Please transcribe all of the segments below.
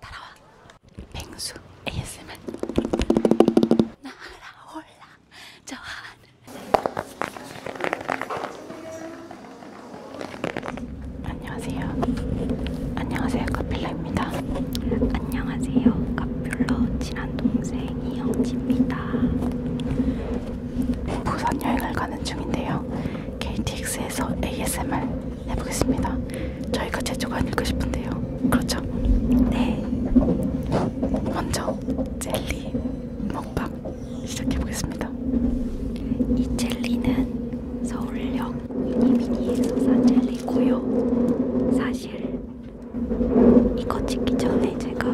따라와 뱅수 ASMR 날아올라 저 하늘 안녕하세요 안녕하세요 카필라입니다 안녕하세요 카필러 친한 동생 이영지입니다 부산 여행을 가는 중인데요 KTX에서 ASMR 해보겠습니다. 저희가 제주가 아닐까 싶은데요. 그렇죠? 네. 먼저 젤리 먹방 시작해보겠습니다. 이 젤리는 서울역 이민희에서 산 젤리고요. 사실 이거 찍기 전에 제가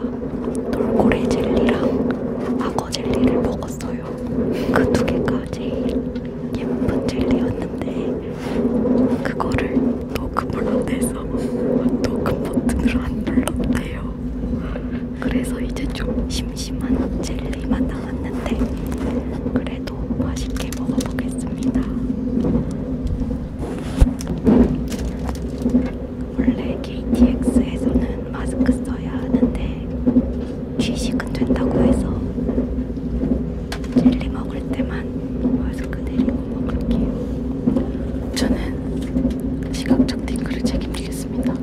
돌고래 젤리랑 악어 젤리를 먹었어요. 그 두 개가 제일 예쁜 젤리였는데 그거를 녹음을 못해서 녹음 버튼으로 안 눌렀대요. 그래서 이제 좀 심심한 젤리만 나왔는데 그래도 맛있게 먹어보겠습니다. 원래 KTX에서는 마스크 써야 하는데 취식은 된다고 해서 젤리 먹을 때만 마스크 내리고 그 먹을게요. 저는 시각적 딩크를 책임지겠습니다.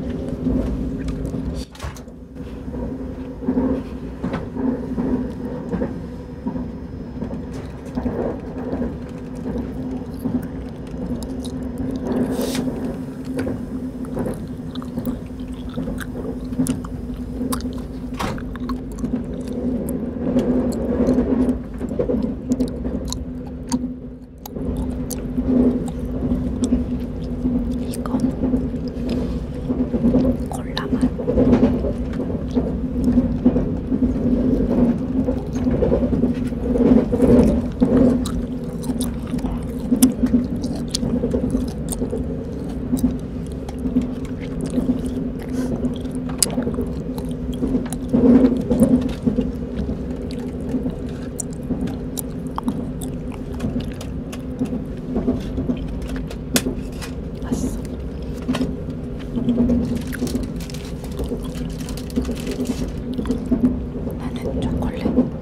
이건 콜라맛 맛있어. 나는 초콜릿.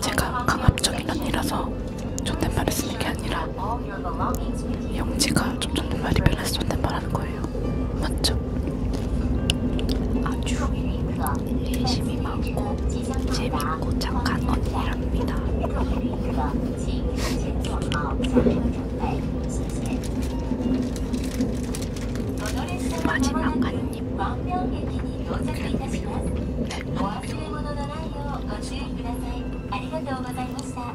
제가 강압적인 언니라서 존댓말을 쓰는 게 아니라 영지가 좀 존댓말이 변해서 존댓말하는 거예요. 맞죠? 아주 열심히 많고 재밌고 착한 언니랍니다. 마지막 한ドア中物のないようご注意ください。ありがとうございました。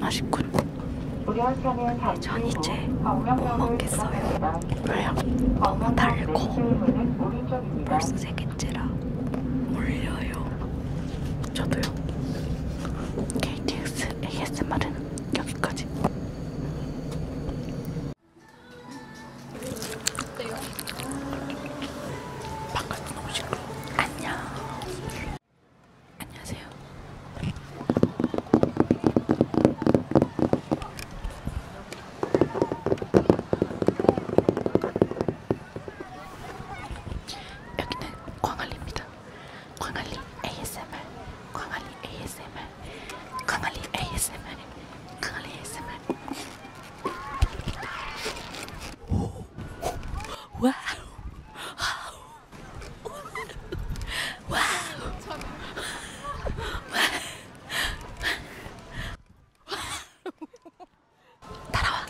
맛있군. 전 이제 못 먹겠어요. 왜요? 너무 달고 벌써 되게 땡지라 울려요. 저도요. KTX ASMR은 여기까지. 어때요? 바깥 너무 시끄러. 안녕. 안녕하세요. 여기는 광안리입니다. 광안리 ASMR, 광안리 ASMR, 광안리 ASMR, 광안리 ASMR. 와우, 와우, 와우, 와우. 따라와.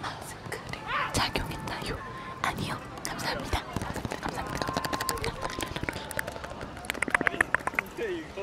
마스크를 착용했나요? 아니요. 감사합니다. 감사합니다. 아니, 이거.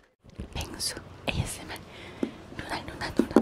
펭수 ASMR 누나 누나 누나 누나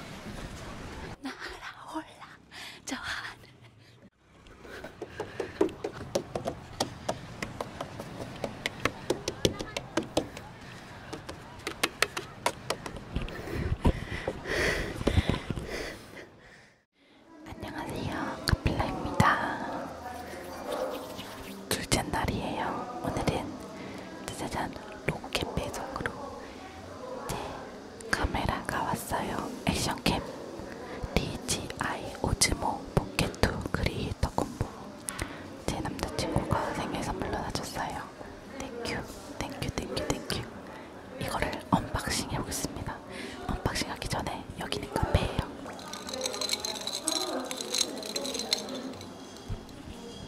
날아올라 저 하늘 안녕하세요 카필라입니다 둘째 날이에요. 오늘은 짜자잔 로켓 배송으로 제 카메라가 왔어요. 액션캠 DJI 오즈모 포켓2 크리에이터 콤보 제 남자친구가 생일 선물로 사줬어요. 땡큐 땡큐 땡큐 땡큐 이거를 언박싱 해보겠습니다. 언박싱 하기 전에 여기는 카페예요.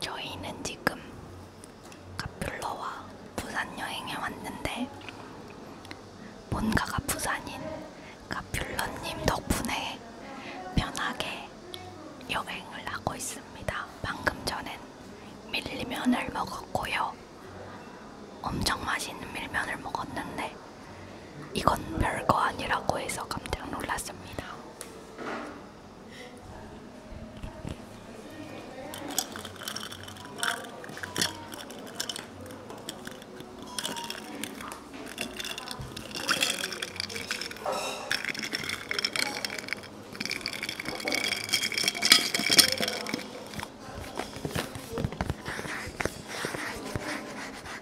저희는 지금 카퓰러와 부산 여행에 왔는데 본가가 부산인 카퓰러님 덕분에 편하게 여행을 하고 있습니다. 방금 전엔 밀면을 먹었고요. 엄청 맛있는 밀면을 먹었는데 이건 별거 아니라고 해서 깜짝 놀랐습니다.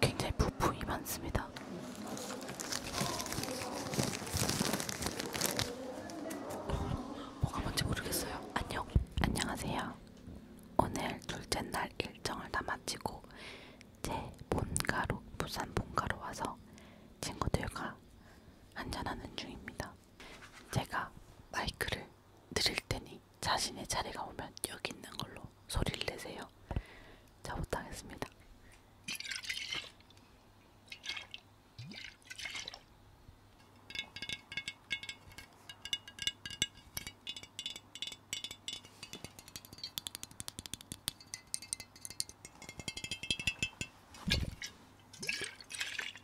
굉장히 부품이 많습니다. 뭐가 뭔지 모르겠어요. 안녕, 안녕하세요. 오늘 둘째 날 일정을 다 마치고 제 본가로 부산 본가로 와서 친구들과 한잔하는 중입니다. 제가 마이크를 드릴 테니 분이 자신의 차례가 오면 여기 있는 걸로 소리를 내세요. 자, 부탁하겠습니다.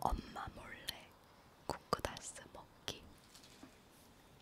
엄마 몰래 쿠쿠다스 먹기